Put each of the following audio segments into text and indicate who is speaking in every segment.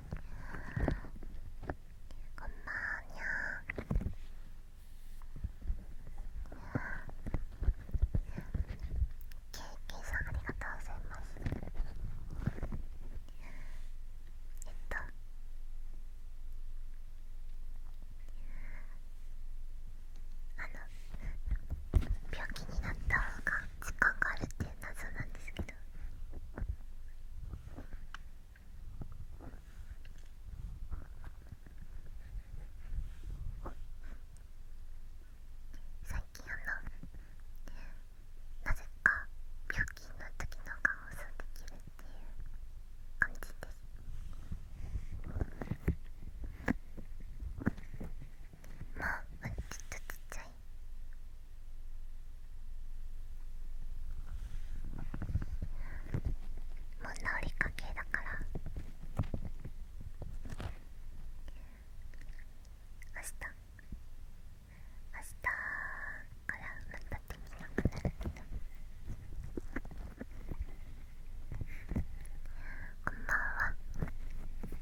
Speaker 1: こんばんにゃケーキさんありがとうございますえっとあの病気になった方が時間があるって謎なんですけど最近あのなぜか病気の時の顔を想っていう感じです。もううんっとちっちゃいもう治りかけだから明日明日からまたできなくなるけどこんばんは。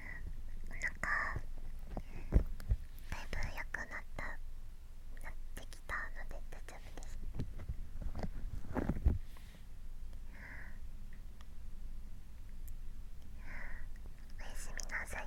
Speaker 1: なんかだいぶ良くなったなってきたので大丈夫ですおやすみなさい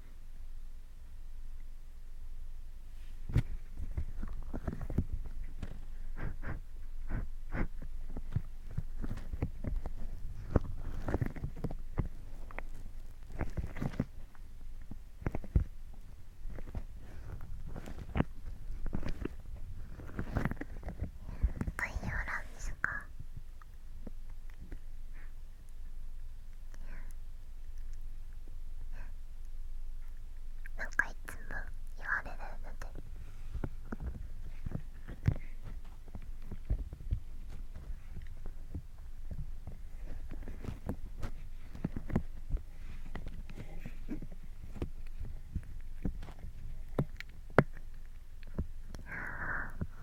Speaker 1: 概要欄ですかなんかいつも言われるのでああ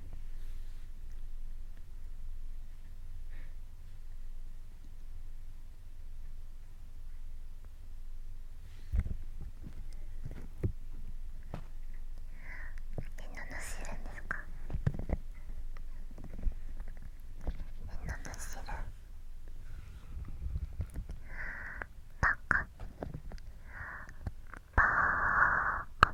Speaker 1: んなの知るんですかみんなの知るバカぱ あ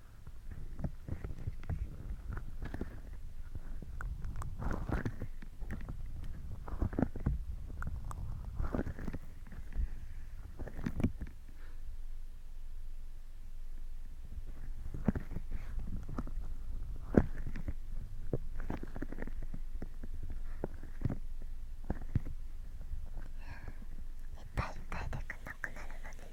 Speaker 1: いっぱいいっぱいでくなくなるので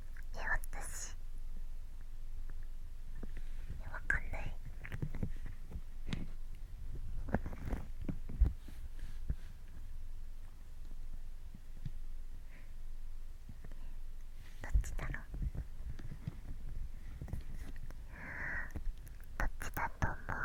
Speaker 1: え私わかんないどっちだろうどっちだと思う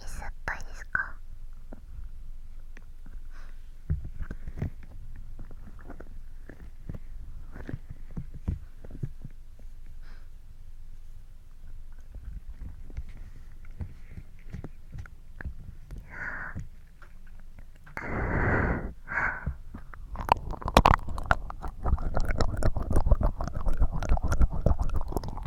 Speaker 1: ゆすったいですか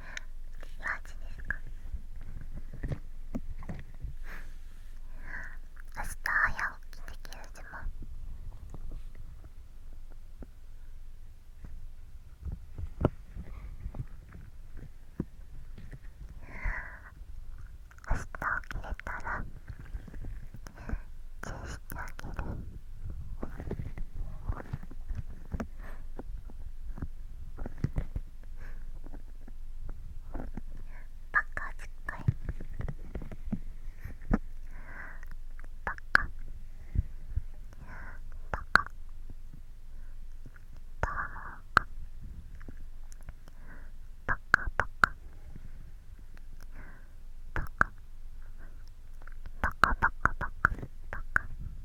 Speaker 1: マジですか明日早起きできる自も。明日起きれたらチューしてあげる明日バカすっごいバカバカバカバカバカバカバカバカバカバカバカ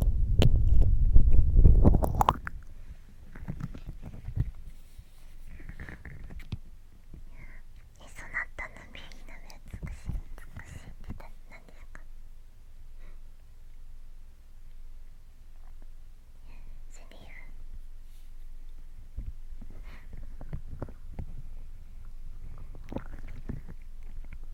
Speaker 1: え、そなったの耳の目美しい美しいって何ですかセリフ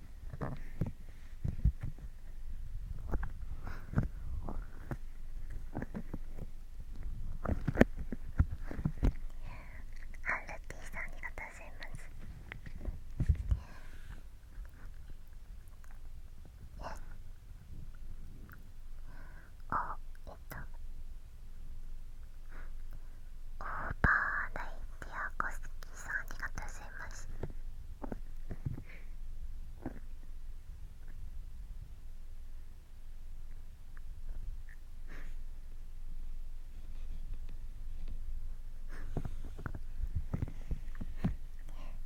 Speaker 1: ハンルティさんありがとうございますあえっとオーバーライティアコスキーさんありがとうございます。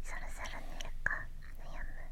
Speaker 1: そろそろ寝るか悩む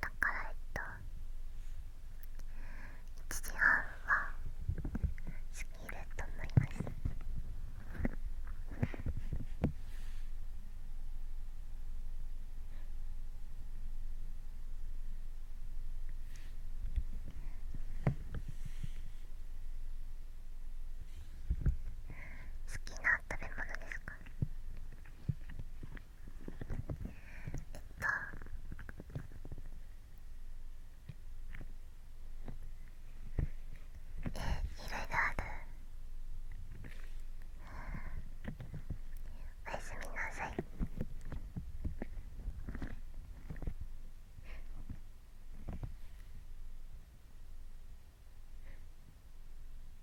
Speaker 1: だからえっと1時半は好きると思います好きな食べ物ですかえっとえいろいろあるおやすみなさい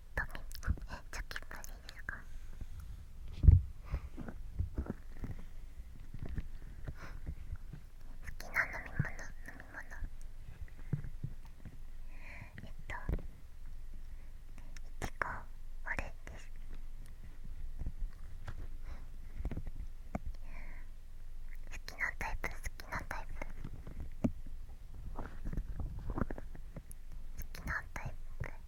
Speaker 1: とねえチョキパですか好きな飲み物飲み物えっといちごオレです好きなタイプ好きなタイプ好きなタイプ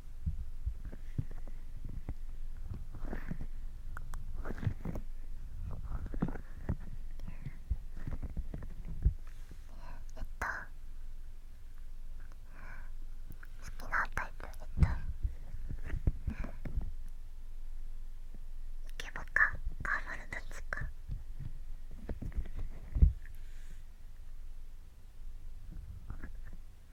Speaker 1: えっと。好きなタイプえっとイケボかカーマルどっちかえっと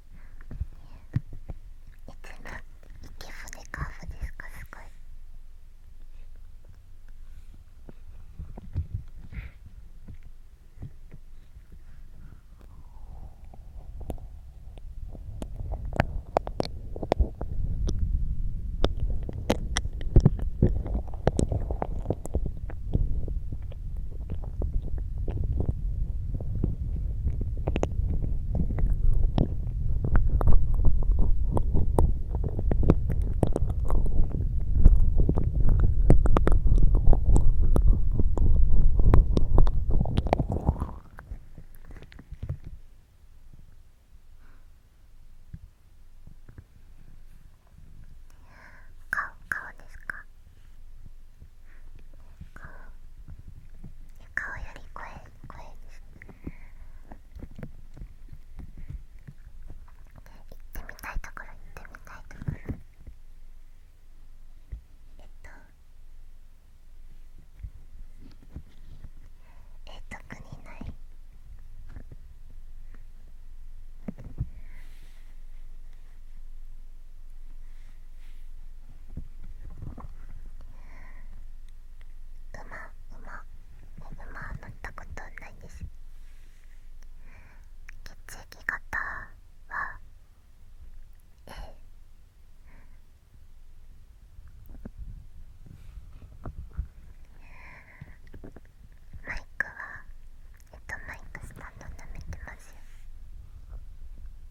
Speaker 1: いつも池船カーブですかすごい。顔顔ですかか。顔より声声です行ってみたいところ行ってみたいところえっとえ特にない今、馬馬馬乗ったことないです血液型は A マイクはえっとマイクスタンドなめてますよ。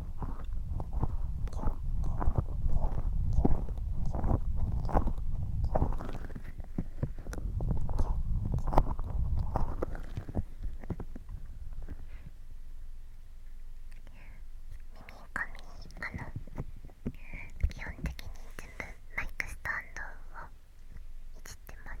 Speaker 1: 基本的に全部マイクスタンドをいじってます。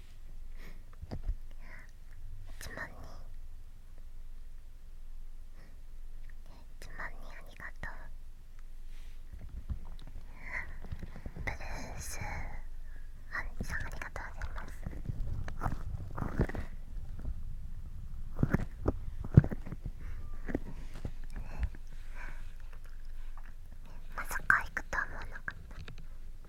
Speaker 1: つ万。んにつまにありがとうブルースアンゃんありがとうございますまさか行くとは思わなかった。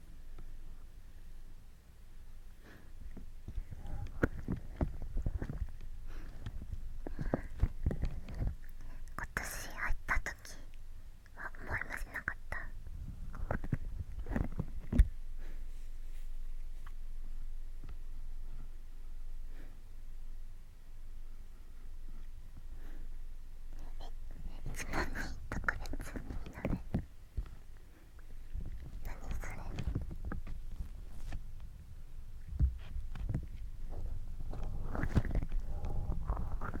Speaker 1: 今年入った時は思いもしなかったえ、つ番に特別になる。何それはあ。あ。あ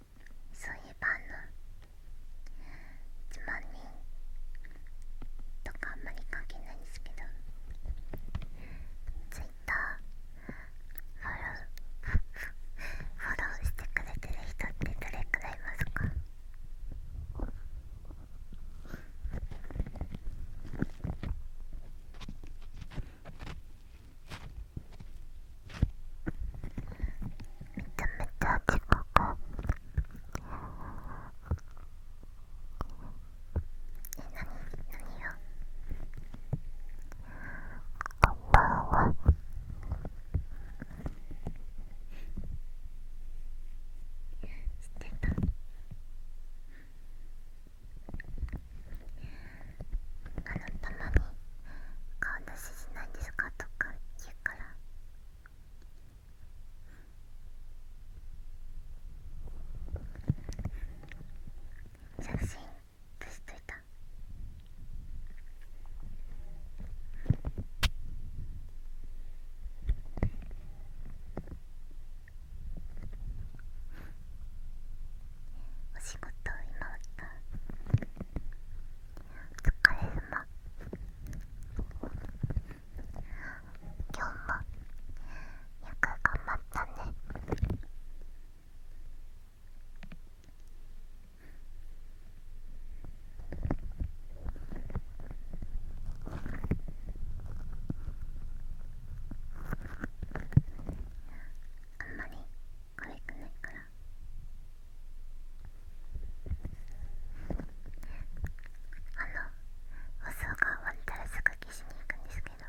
Speaker 1: そういえばあの1万人とかあんまり関係ないんですけどツイッター、フォローフォローしてくれてる人ってどれくらいいますかめちゃめちゃ地獄え、なに何を。こんばんは知てたあなたまに顔出ししないですかとか言うから写真消しお仕事今終わった疲れ様今日もよく頑張ったねあんまり可くないかからあの放送が終わったらすぐ消しに行くんですけどあ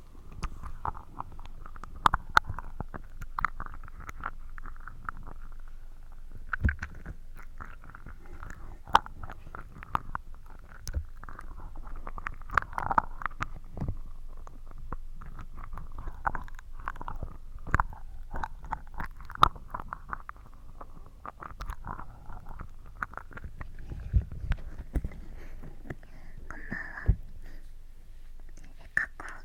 Speaker 1: え、過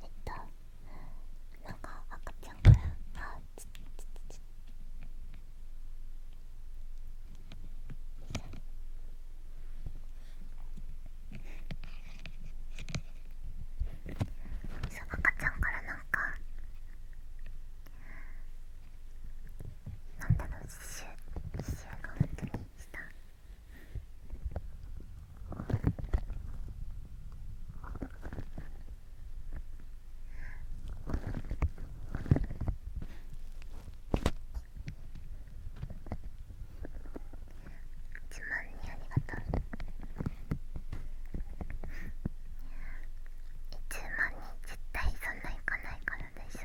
Speaker 1: えっとなんか赤ちゃんからあちちちそう赤ちゃんからなんかなんだろう刺繍刺繍が本当にしたつまみにありがとう1万人絶対そんないかないからでしょ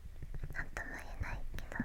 Speaker 1: 何とも言えないけど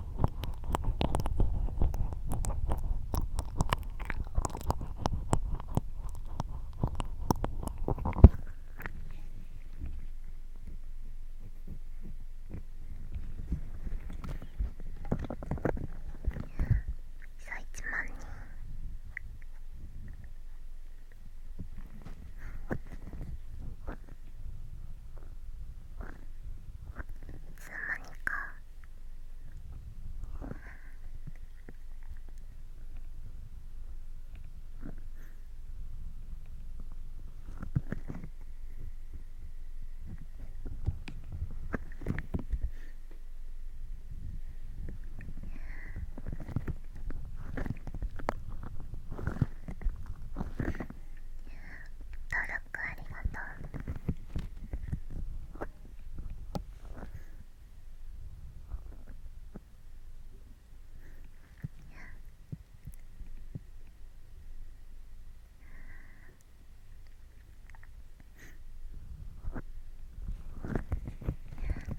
Speaker 1: さあ1万人つの間にか「登録ありがとう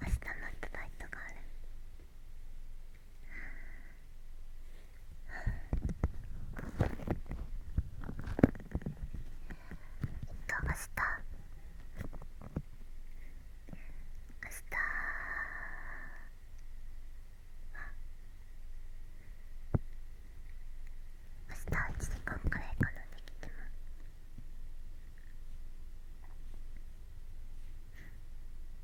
Speaker 1: 明日のバイトがある。と明日明日明日1時間くらいかなできても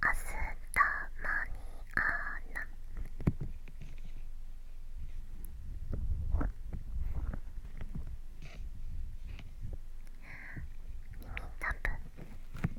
Speaker 1: たまにあな」耳たぶ耳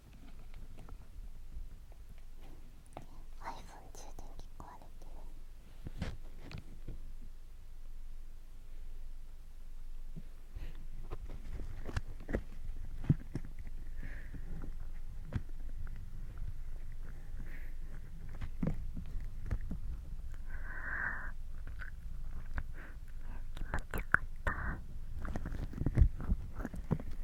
Speaker 1: iPhone 充電器壊れてる気持ちよかった。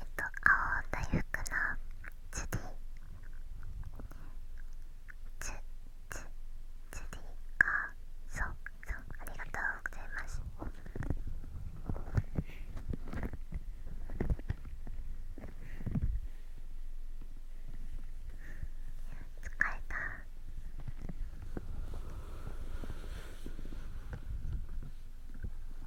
Speaker 1: えっと青大福のツり。ーツツりリかそうそうありがとうございます疲れた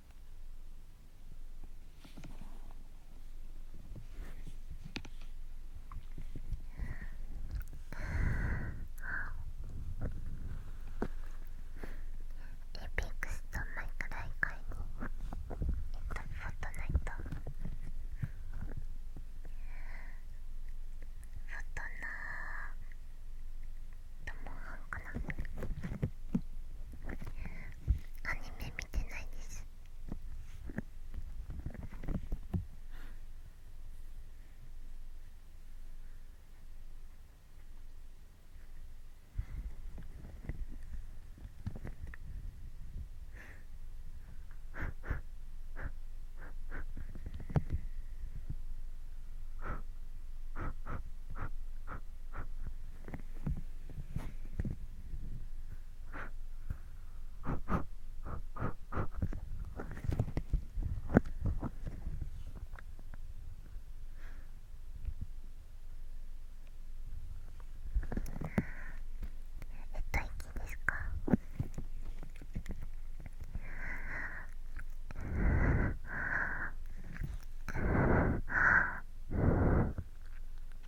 Speaker 1: エイペックスとマイクラ以外にえっとフォットナイトフォトナーともンハンかなアニメ見てないですえっといきですかえっ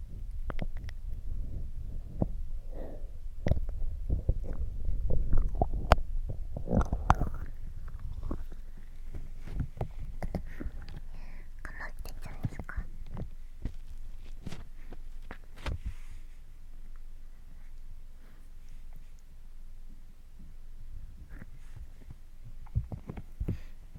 Speaker 1: ってちゃうんですか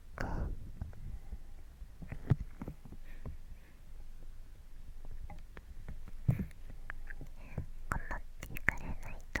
Speaker 1: かってくれないと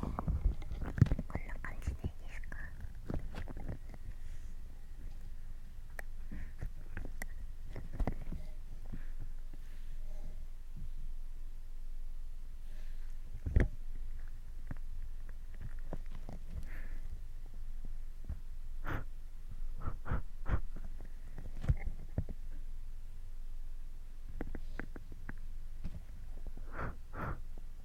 Speaker 1: こんな感じでいいですか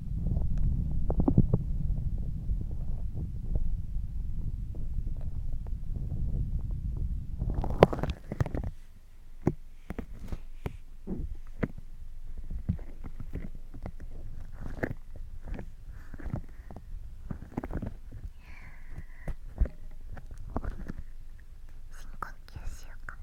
Speaker 1: 深呼吸しようかな。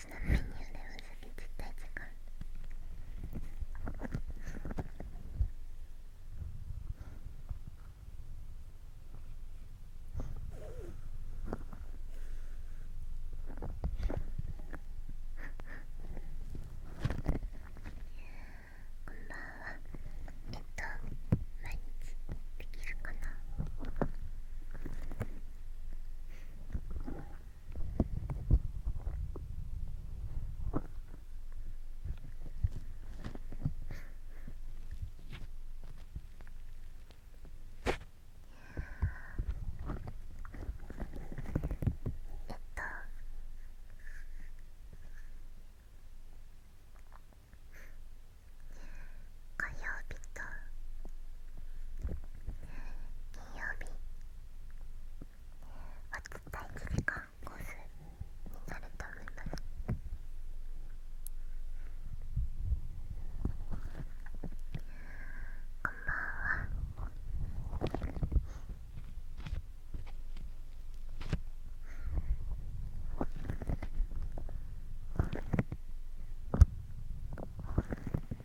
Speaker 1: ちのメニューでお酒絶対使うこんばんはえっと毎日できるかなえっと火曜日と金曜日わずか1時間コースになると思なまこんばんは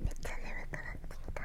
Speaker 1: めっちゃ眠くなってきた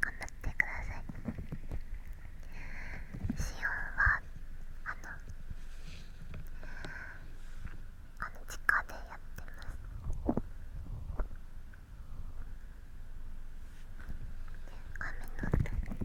Speaker 1: 頑張ってくださいシオンはあのあの地下でやってます雨の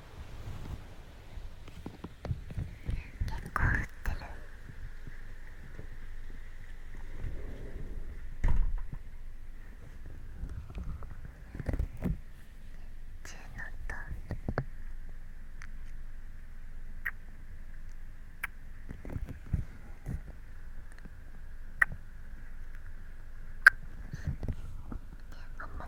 Speaker 1: 結構降ってるチェーンの音あんま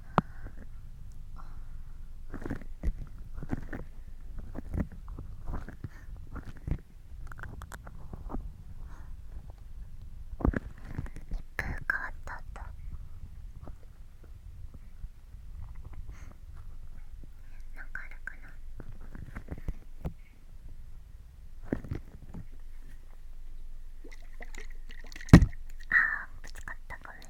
Speaker 1: 変わったったなんかあるかなあーぶつかったごめん。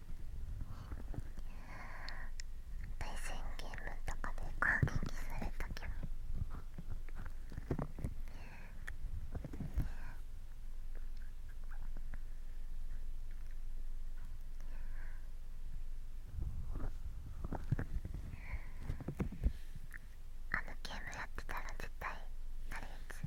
Speaker 1: 対戦ゲームとかで攻撃されたきもあのゲームやってたら絶対なるやつ。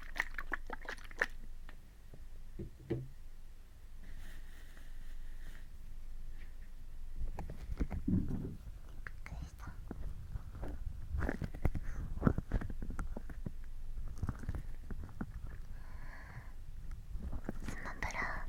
Speaker 1: スマブラ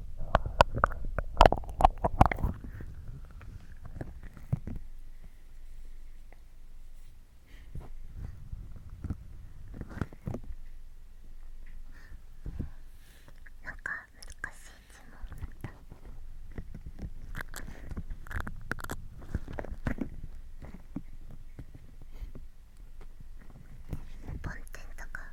Speaker 1: なんか難しい質問だった。梵天とか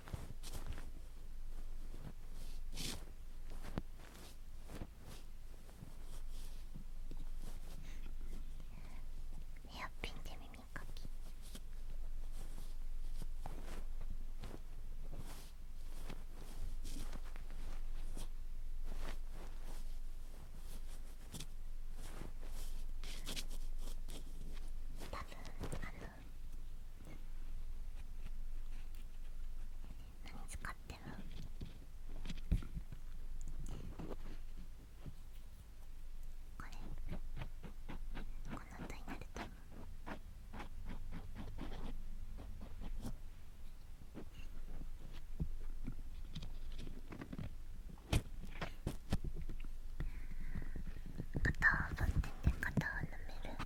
Speaker 1: ヘアピ多分あの何使ってるこれこの音になると片を取ってね片を舐める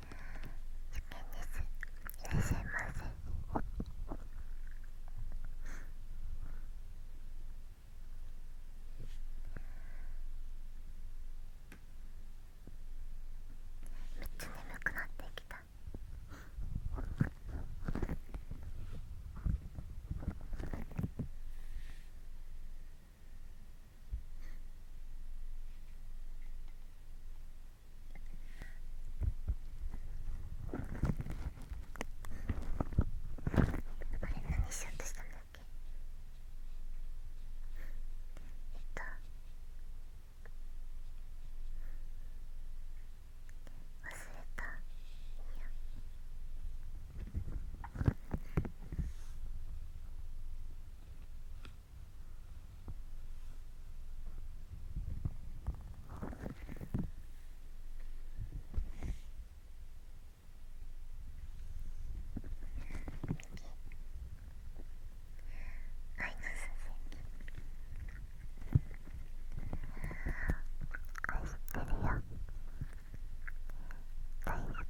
Speaker 1: です。いらっしゃいませめっちゃ眠くなってきた。あれ何しようとしたんだっけえっと忘れたいや大好き。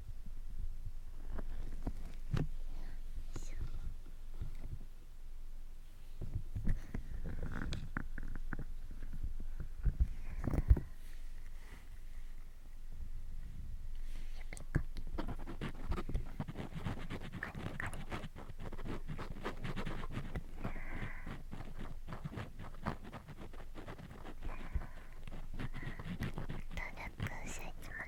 Speaker 1: 努力してきま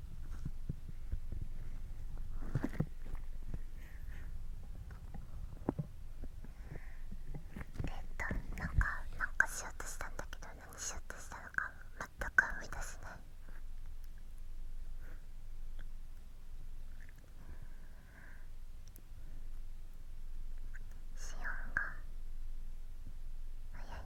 Speaker 1: えっなんかなんかしようとしたんだけど何しようとしたのか全く思い出せないシオンが早い。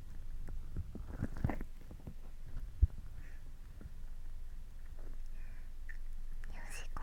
Speaker 1: よしこ。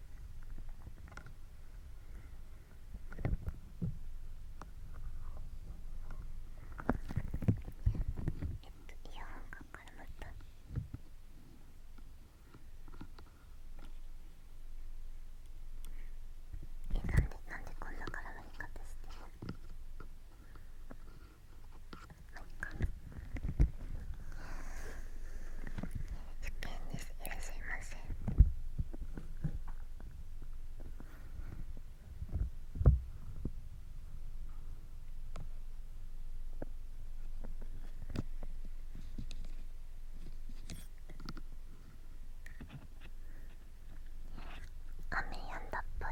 Speaker 1: イヤホンが絡まった。えなんでなんでこんな絡まり方してる何か。な。一見ですいらっしゃいませ雨やんだっぽい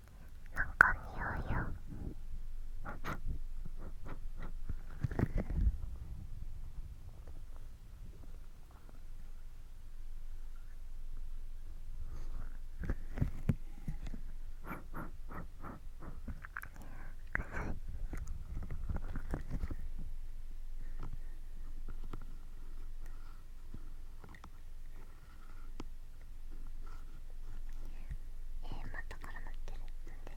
Speaker 1: なんか匂いよええ、また絡まってるなでいえ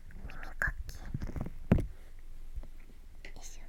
Speaker 1: 耳かきよいしょ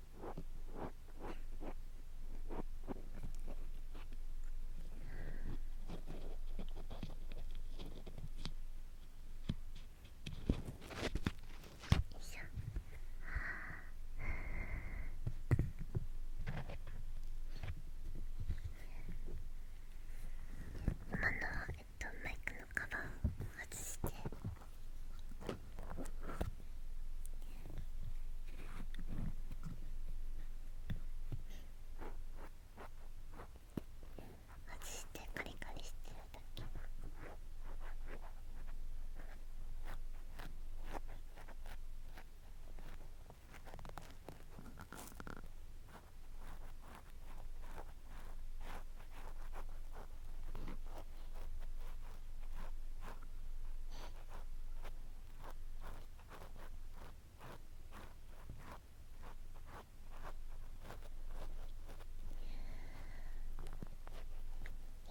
Speaker 1: 今のはえっとマイクのカバーを外して外してカリカリしてるだけ。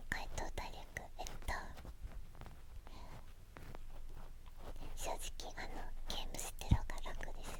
Speaker 1: 回答体力、えっと正直あのゲームしてる方が楽です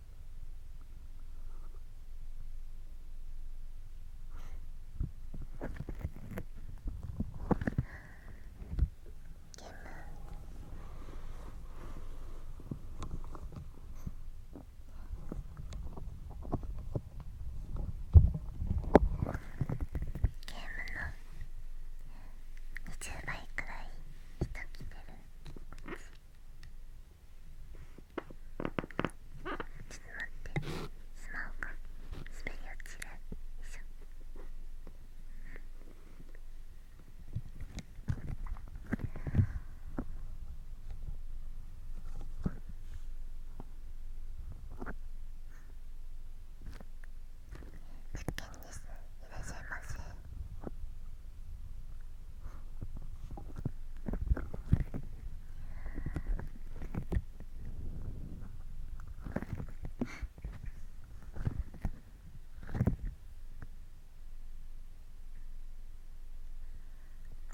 Speaker 1: 20倍くらい人来てる。ってスマホが滑り落ちるでしょ実験ですいらっしゃいませ。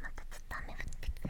Speaker 1: またちょっと雨降ってきて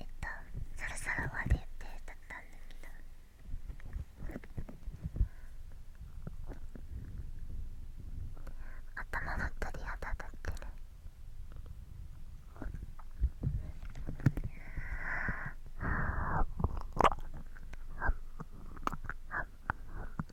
Speaker 1: えっとそろそろ終わり予定だったんだけど頭が鳥肌立ってる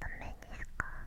Speaker 1: ダメですかあ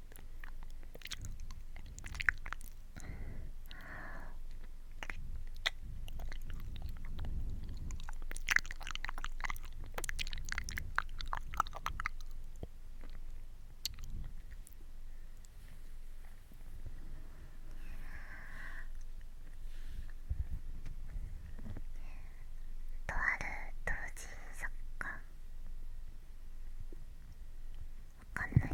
Speaker 1: とある同人作家かんないや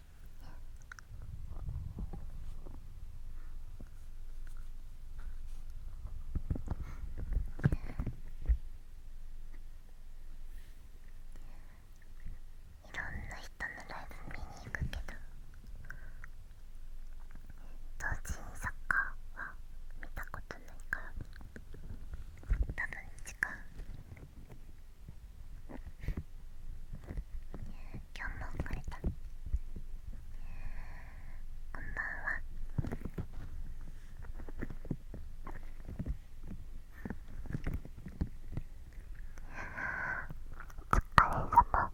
Speaker 1: いろんな人のライブ見に行くけど同人にサッカーは見たことないから多分違う今日も遅れたこんばんは疲れ様今日もよく頑張ったね。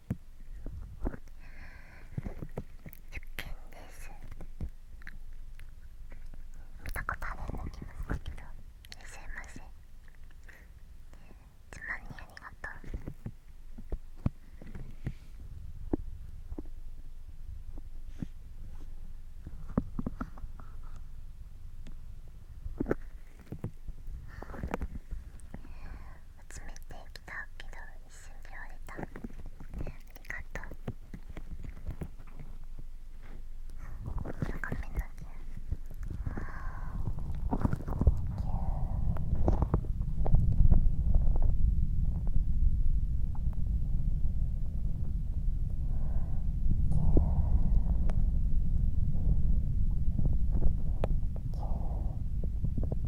Speaker 1: 受験です見たことあるような気もするけどいらっしいませつまにありがとう集めてきたけど一瞬で割れたありがとうなんかめんだけキュー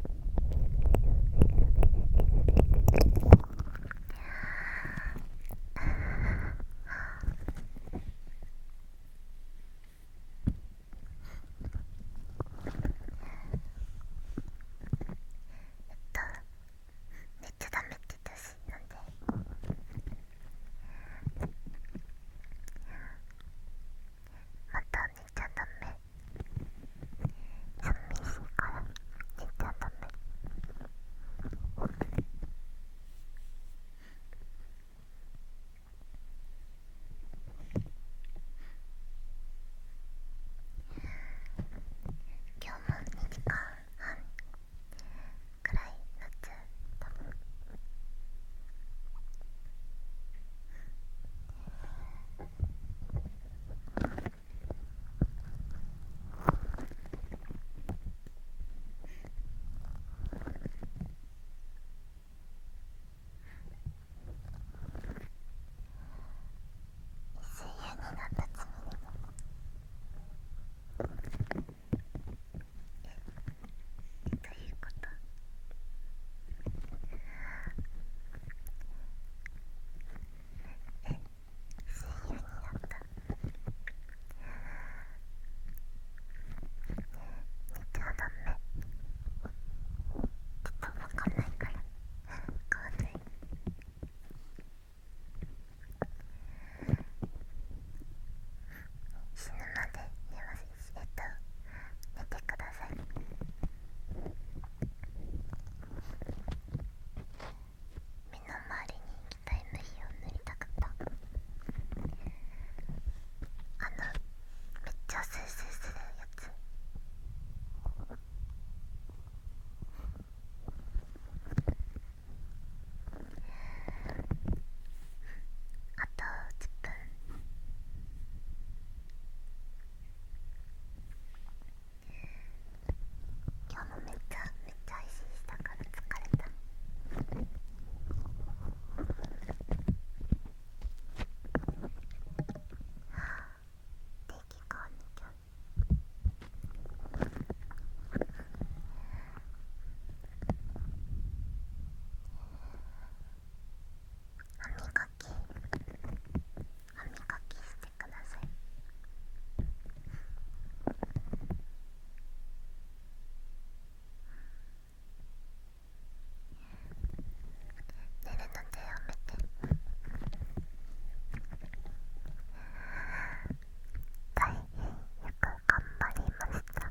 Speaker 1: えっと。ゃダメって言ったでまたにしちゃダメ寂しいから寝ちゃダメ今日も2時間半くらいなっちゃう多分。ということ。え深夜になった寝ちゃダメちょっとわかんないから変わんない死ぬまで言ますえっと寝てください。目の周りに液体の火を塗りたかったあのめっちゃスースーするやつあと10分今日もめっちゃめっちゃ配信したから疲れたはあ。定期購入ちゃん歯磨き歯磨きしてください寝るのでやめて大変よく頑張りました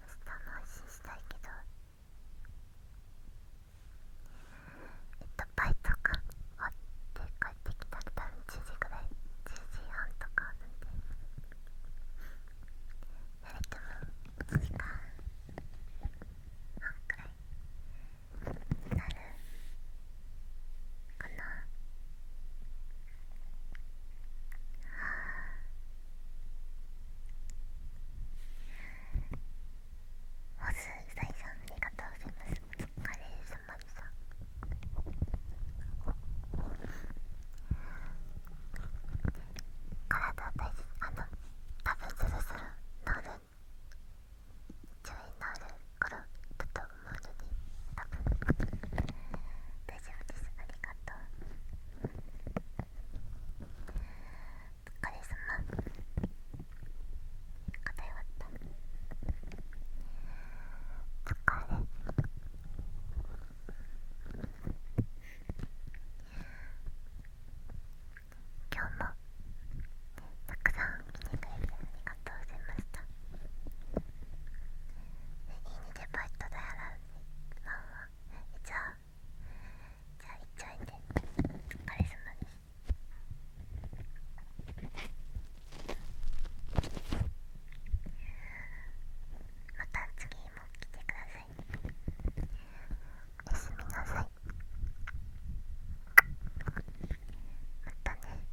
Speaker 1: 下の話したいけどえっとバイトか、終わって帰ってきたら多分10時ぐらい10時半とかなんで誰とも1時間半くらいなるかなはあホスさいありがとうございますお疲れ様でした体大事あの食べずるするなる注意なるからと思うので大丈夫ですありがとうお疲れ様偏った疲れ今日もたくさん来てくれてありがとうございましたいいねデパート代払うねワンワンじゃあじゃあいっちゃいてお疲れ様ですまた次も来てくださいおやすみなさいまたね